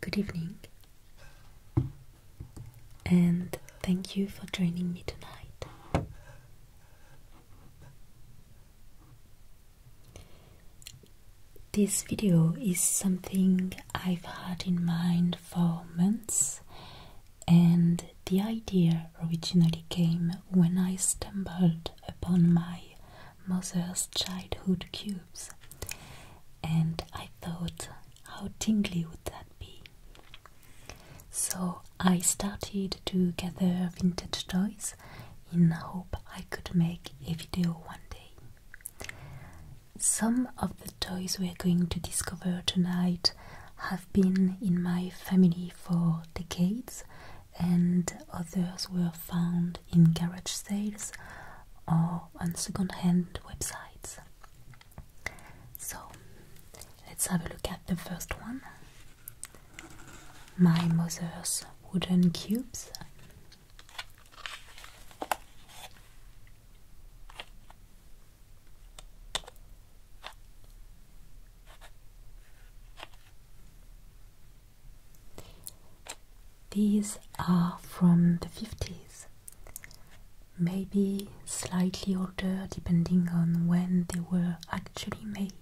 Good evening, and thank you for joining me tonight. This video is something I've had in mind for months. And the idea originally came when I stumbled upon my mother's childhood cubes, and I thought, how tingly would that be? So I started to gather vintage toys in hope I could make a video one day. Some of the toys we are going to discover tonight have been in my family for decades, and others were found in garage sales or on second hand websites. So let's have a look at the first one my mother's wooden cubes. These are from the 50s, maybe slightly older depending on when they were actually made.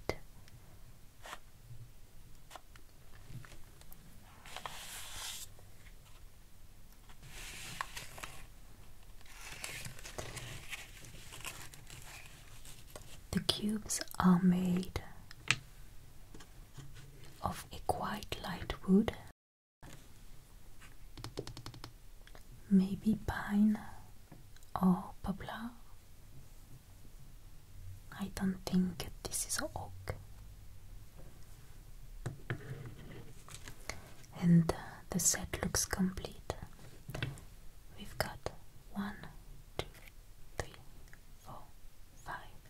The cubes are made of a quite light wood, maybe pine or poplar. I don't think this is oak. And uh, the set looks complete. We've got one, two, three, four, five.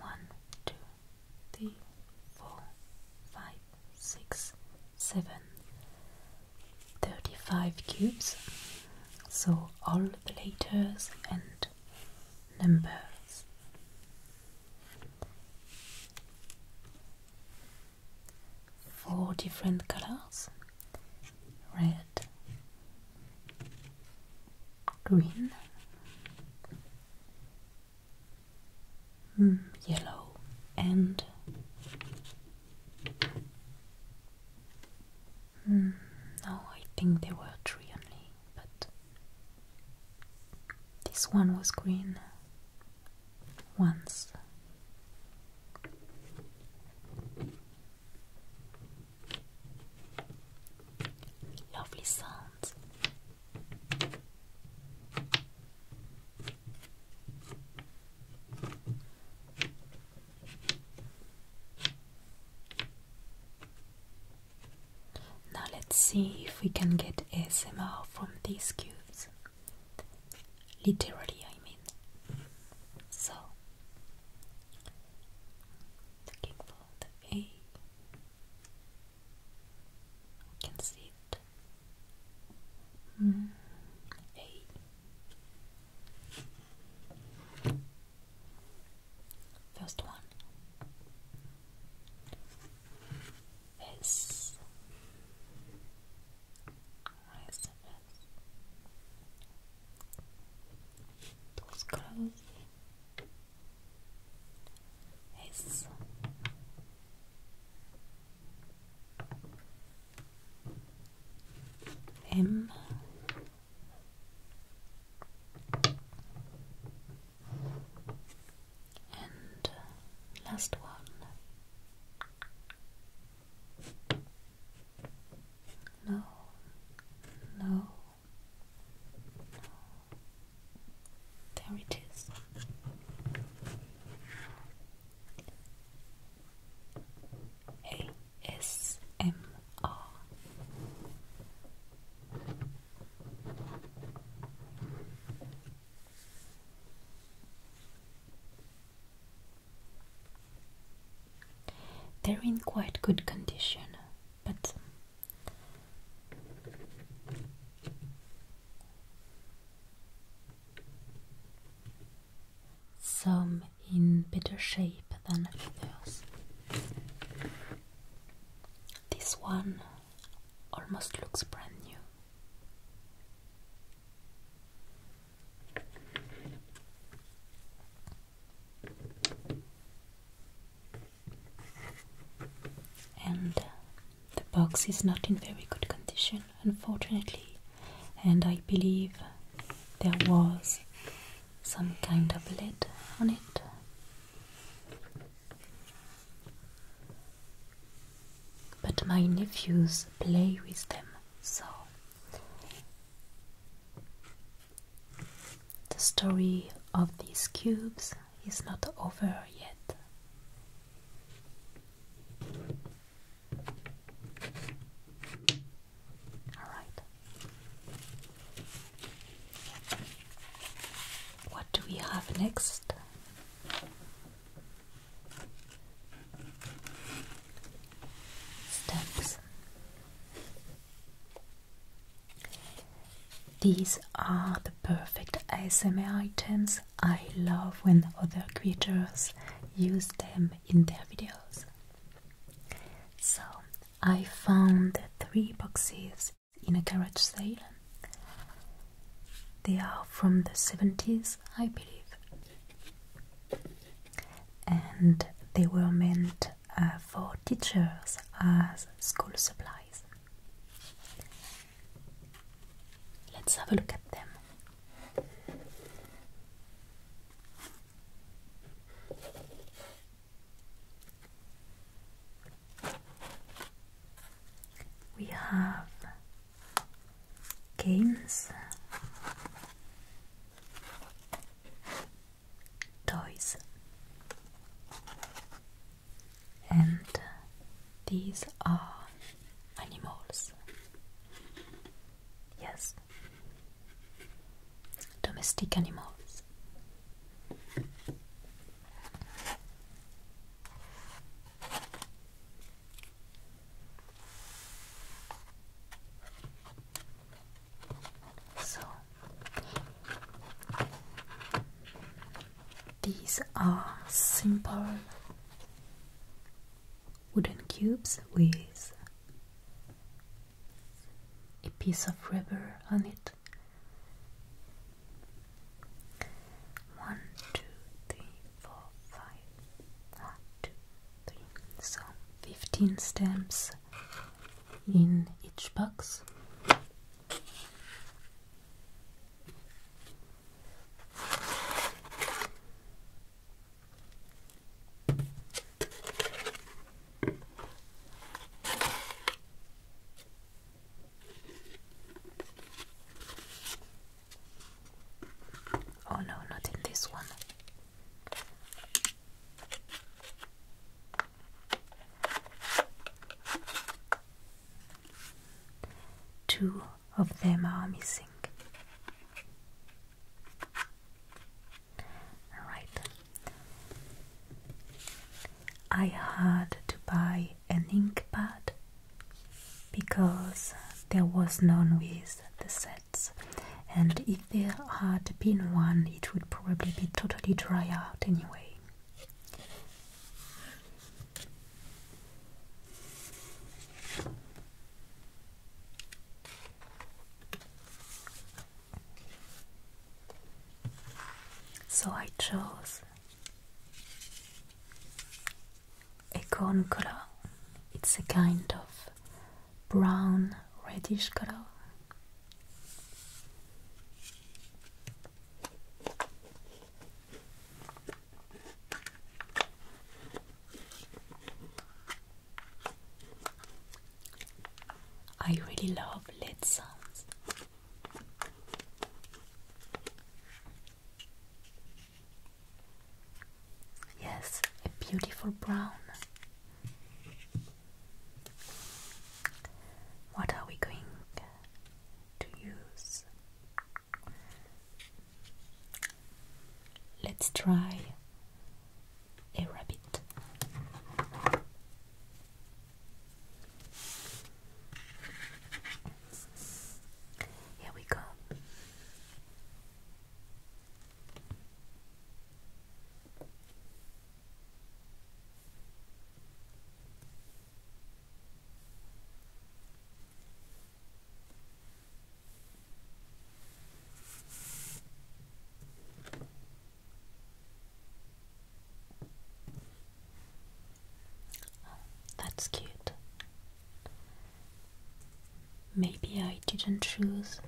One, two, three, four, five, six, seven. 35 cubes. So all the letters and numbers. Four different colors red, green, mm, yellow, and mm, no, I think there were three only but this one was green once. Lovely sounds. Now let's see if we can get ASMR from these cubes. Literally, I mean. So, looking for the A. I can see it. Hmm, A. First one is Those clothes is M and uh, last one. no, no. There it is. A S M they're in quite good condition, but some in better shape. This one almost looks brand new. And the box is not in very good condition, unfortunately, and I believe there was some kind of lid on it but my nephews play with them, so the story of these cubes is not over yet. All right. What do we have next? Steps. These are the perfect ASMR items. I love when other creators use them in their videos. So I found three boxes in a garage sale. They are from the 70s, I believe, and they were meant uh, for teachers as school supplies. Let's have a look at them. We have games, toys, and these are animals. Yes, Domestic animals. So these are simple wooden cubes with a piece of rubber on it. One, two, three, four, five. One, two, three. So fifteen stamps in each box. Oh no, not in this one. Two of them are missing. Alright. I had to buy an ink pad because there was none with the sets, and if there had been one, it would probably be totally dry out anyway. So I chose a corn color. It's a kind of brown reddish color. I really love lead sounds. Yes, a beautiful brown. What are we going to use? Let's try a rabbit. Here we go that's cute. Maybe I didn't choose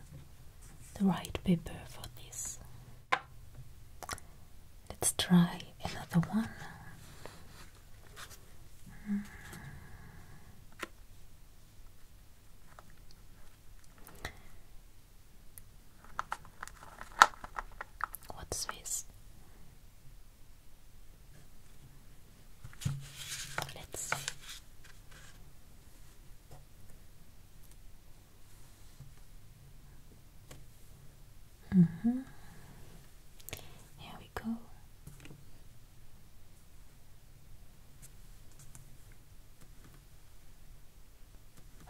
the right paper for this. Let's try another one. What's this? Let's see. Mm-hmm. Here we go.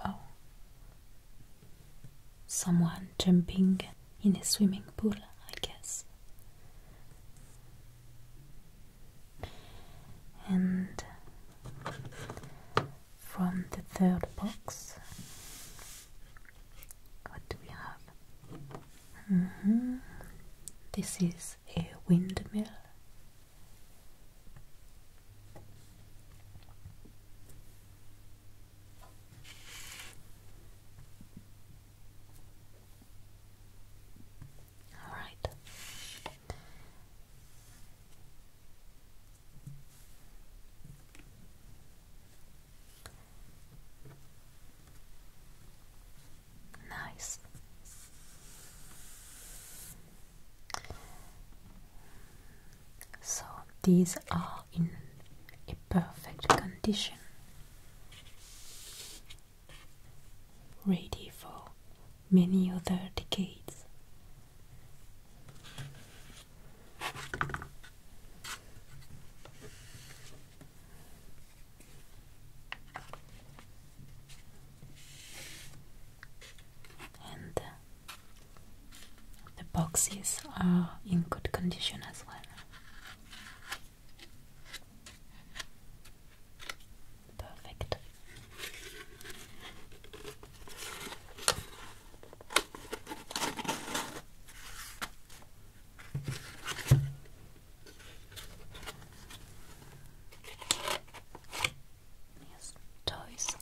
Oh, someone jumping in a swimming pool, I guess. And from the third box, what do we have? Mm-hmm. This is a windmill. All right. Nice. So these are in a perfect condition, ready for many other decades and uh, the boxes are in good condition as well. Perfect toys.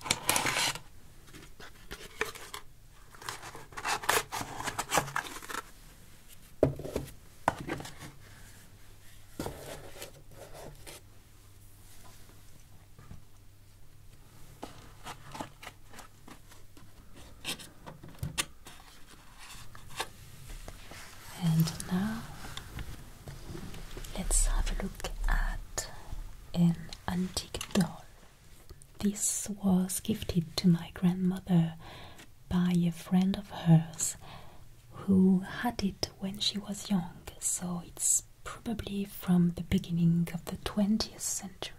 And now let's have a look at an antique doll. This was gifted to my grandmother by a friend of hers who had it when she was young, so it's probably from the beginning of the 20th century.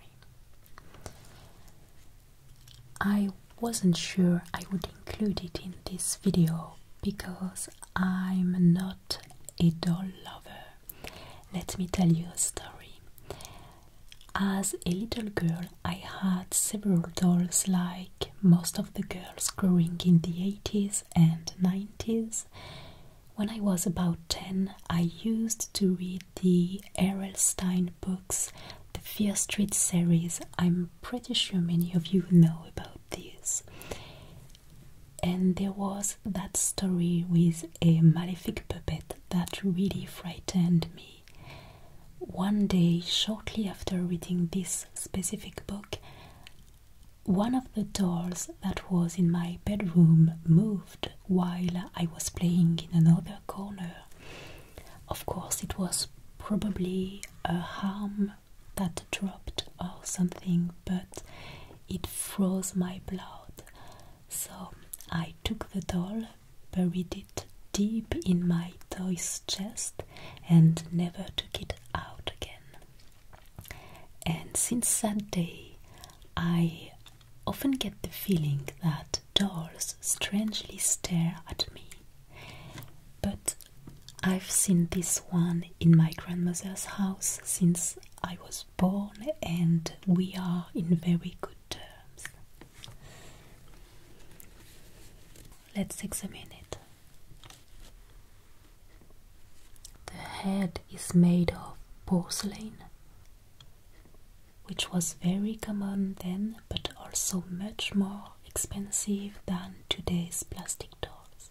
I wasn't sure I would include it in this video because I'm not a doll lover. Let me tell you a story. As a little girl, I had several dolls like most of the girls growing in the 80s and 90s. When I was about 10, I used to read the Errolstein books the Fear Street series. I'm pretty sure many of you know about this. And there was that story with a malefic puppet that really frightened me. One day, shortly after reading this specific book, one of the dolls that was in my bedroom moved while I was playing in another corner. Of course, it was probably a harm that dropped or something, but it froze my blood. So I took the doll, buried it deep in my toy's chest, and never took it out again. And since that day, I often get the feeling that dolls strangely stare at me. But I've seen this one in my grandmother's house since I was born, and we are in very good terms. Let's examine it. The head is made of porcelain, which was very common then but also much more expensive than today's plastic dolls.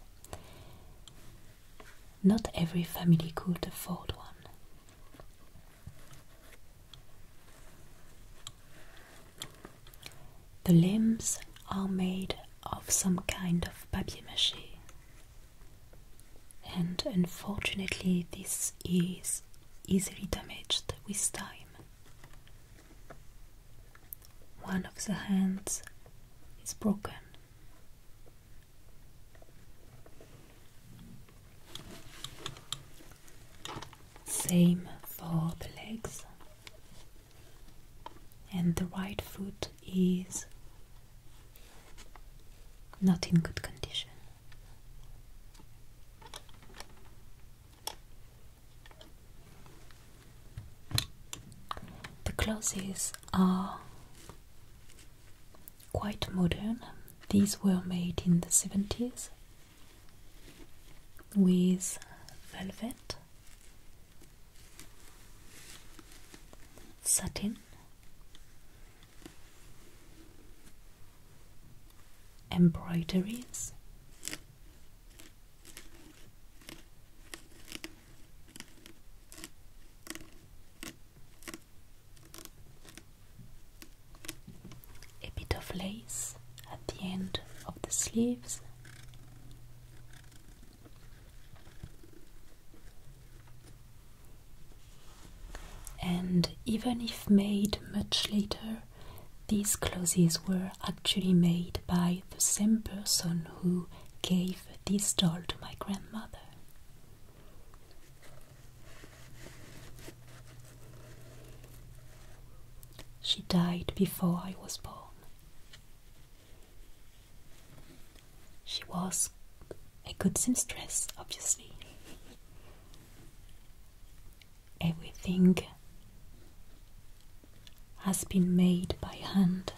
Not every family could afford one. The limbs are made of some kind of papier mâché, and unfortunately, this is easily damaged with time. One of the hands is broken. Same for the legs, and the right foot is not in good condition. The clothes are quite modern. These were made in the 70s with velvet, satin, embroideries a bit of lace at the end of the sleeves. And even if made much later, these clothes were actually made by the same person who gave this doll to my grandmother. She died before I was born. She was a good seamstress, obviously. Everything has been made by hand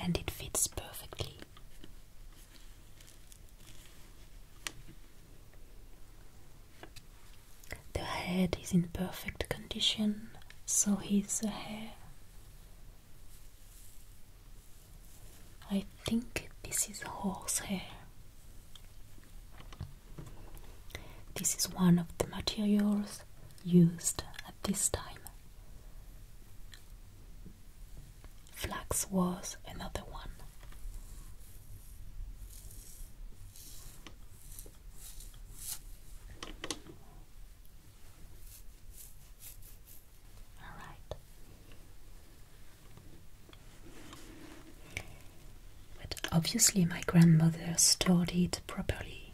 and it fits perfectly. The head is in perfect condition, so is the hair. I I think this is horse hair. This is one of the materials used at this time. Flax was another one. All right. But obviously, my grandmother stored it properly.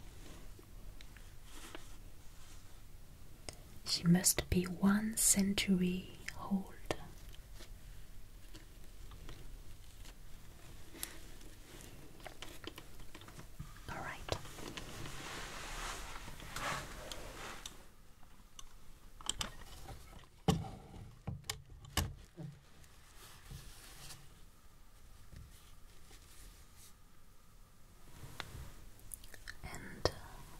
She must be one century old. All right. And uh,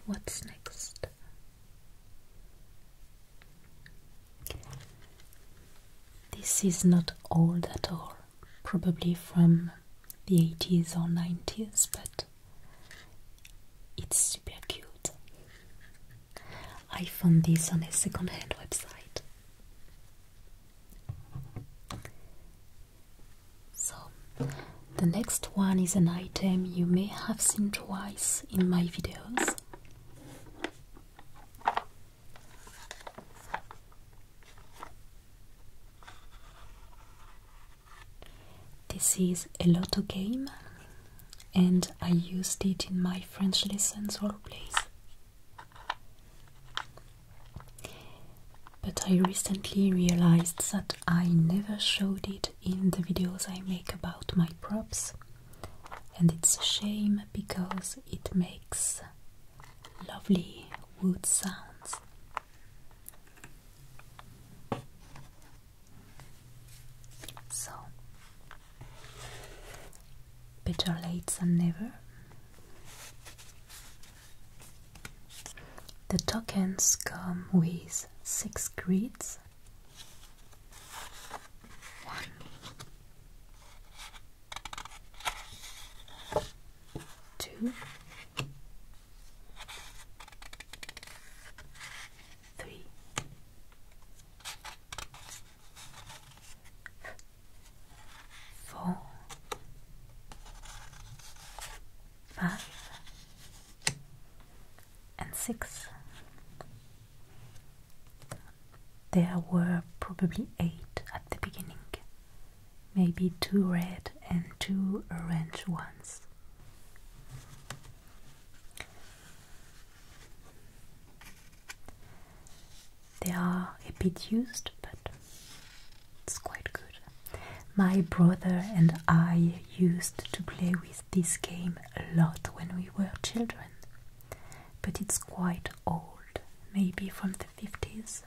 what's next? This is not old at all, probably from the 80s or 90s, but it's super cute. I found this on a second hand website. So, the next one is an item you may have seen twice in my videos. This is a lotto game and I used it in my French lessons roleplays. But I recently realized that I never showed it in the videos I make about my props, and it's a shame because it makes lovely wood sounds. So, better late than never. The tokens come with six grids. One. Two, three. and six. There were probably eight at the beginning, maybe two red and two orange ones. They are a bit used, but it's quite good. My brother and I used to play with this game a lot when we were children, but it's quite old, maybe from the 50s.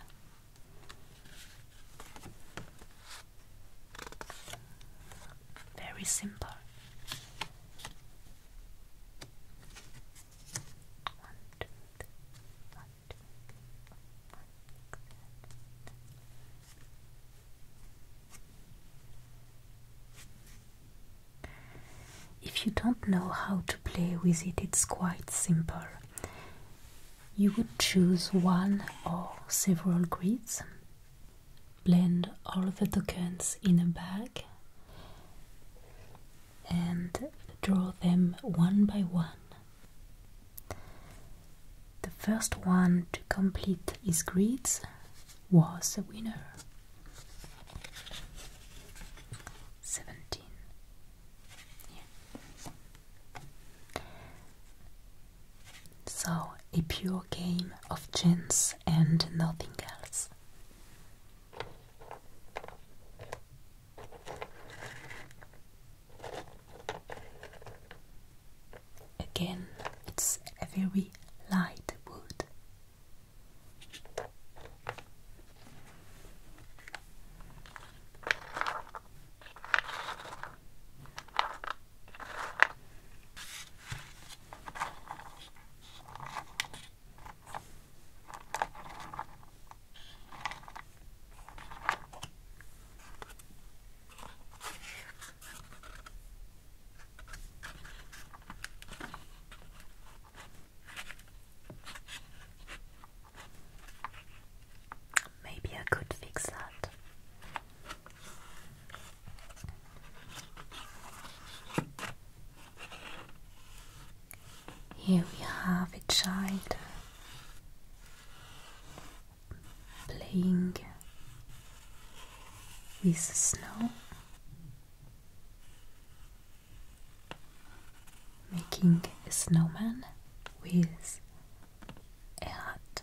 Very simple. If you don't know how to play with it, it's quite simple. You would choose one or several grids blend all the tokens in a bag and draw them one by one. The first one to complete his grids was the winner. 17. So, a pure game of chance and nothing else. Again, it's a very light wood. Maybe I could fix that. Here we have a child playing with snow, making a snowman with a hat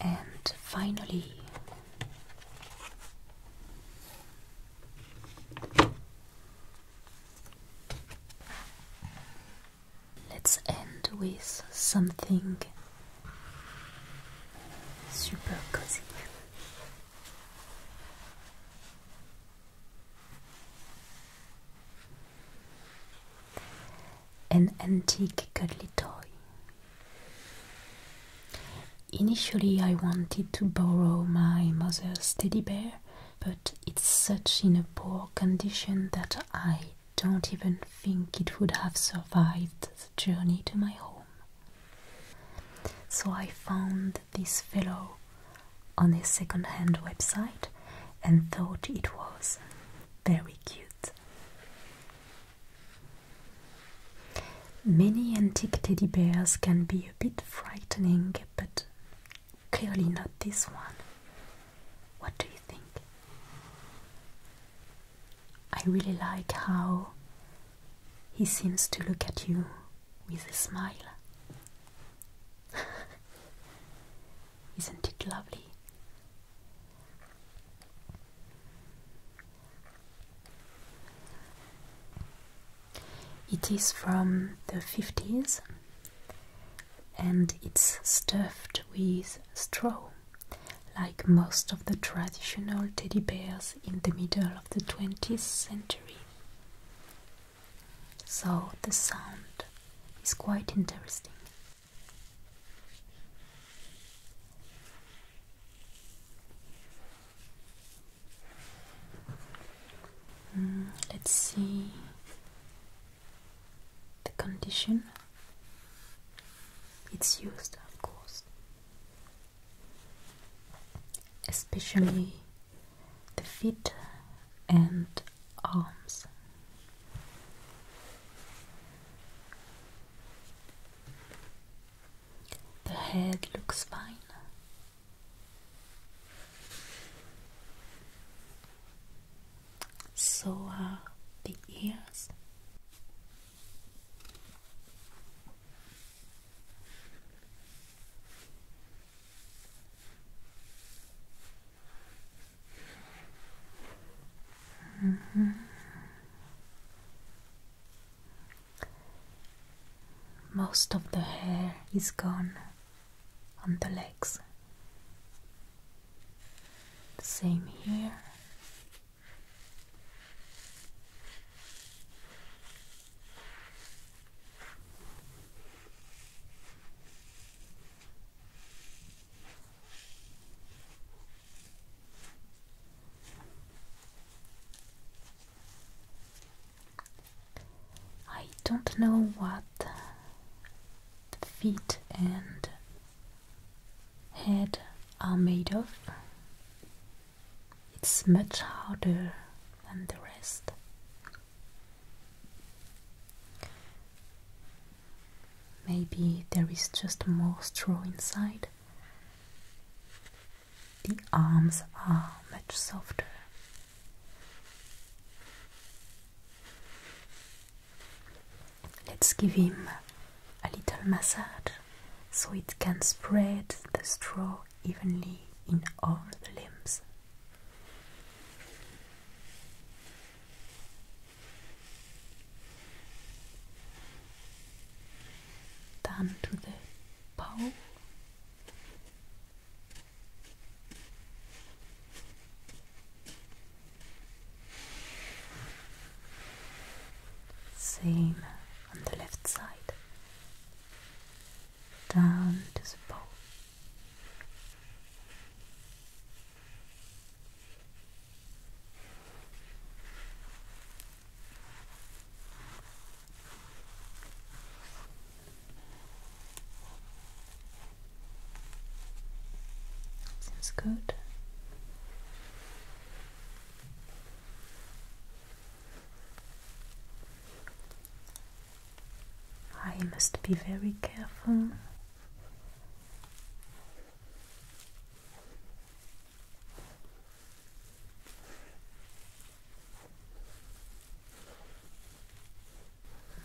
And finally, let's end with something Super cozy. An antique cuddly toy. Initially, I wanted to borrow my mother's teddy bear, but it's such in a poor condition that I don't even think it would have survived the journey to my home. So I found this fellow on a second-hand website and thought it was very cute. Many antique teddy bears can be a bit frightening, but clearly not this one. What do you think? I really like how he seems to look at you with a smile. Isn't it lovely? It is from the 50s and it's stuffed with straw like most of the traditional teddy bears in the middle of the 20th century. So the sound is quite interesting. Hmm, let's see the condition it's used, of course especially the feet and arms. The head looks fine. So are the ears. Mm-hmm. Most of the hair is gone on the legs. Same here I don't know what feet and head are made of, it's much harder than the rest. Maybe there is just more straw inside. The arms are much softer. Let's give him a little massage so it can spread the straw evenly in all the limbs. Down to the paw. Same on the left side, down to the bow. Seems good. I must be very careful. Mm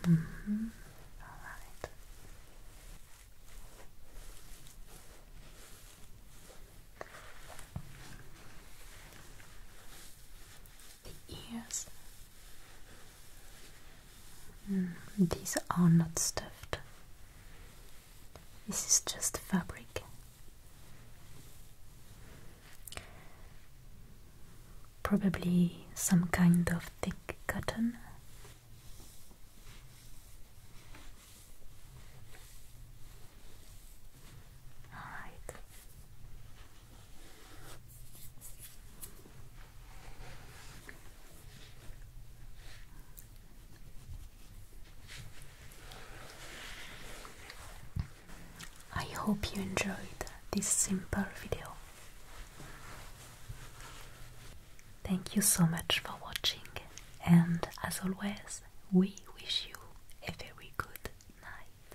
-hmm. All right. The ears. Mm, these are not stuffed. This is just fabric. Probably some kind of thick cotton. All right. I hope you enjoyed this simple video. Thank you so much for watching, and as always, we wish you a very good night.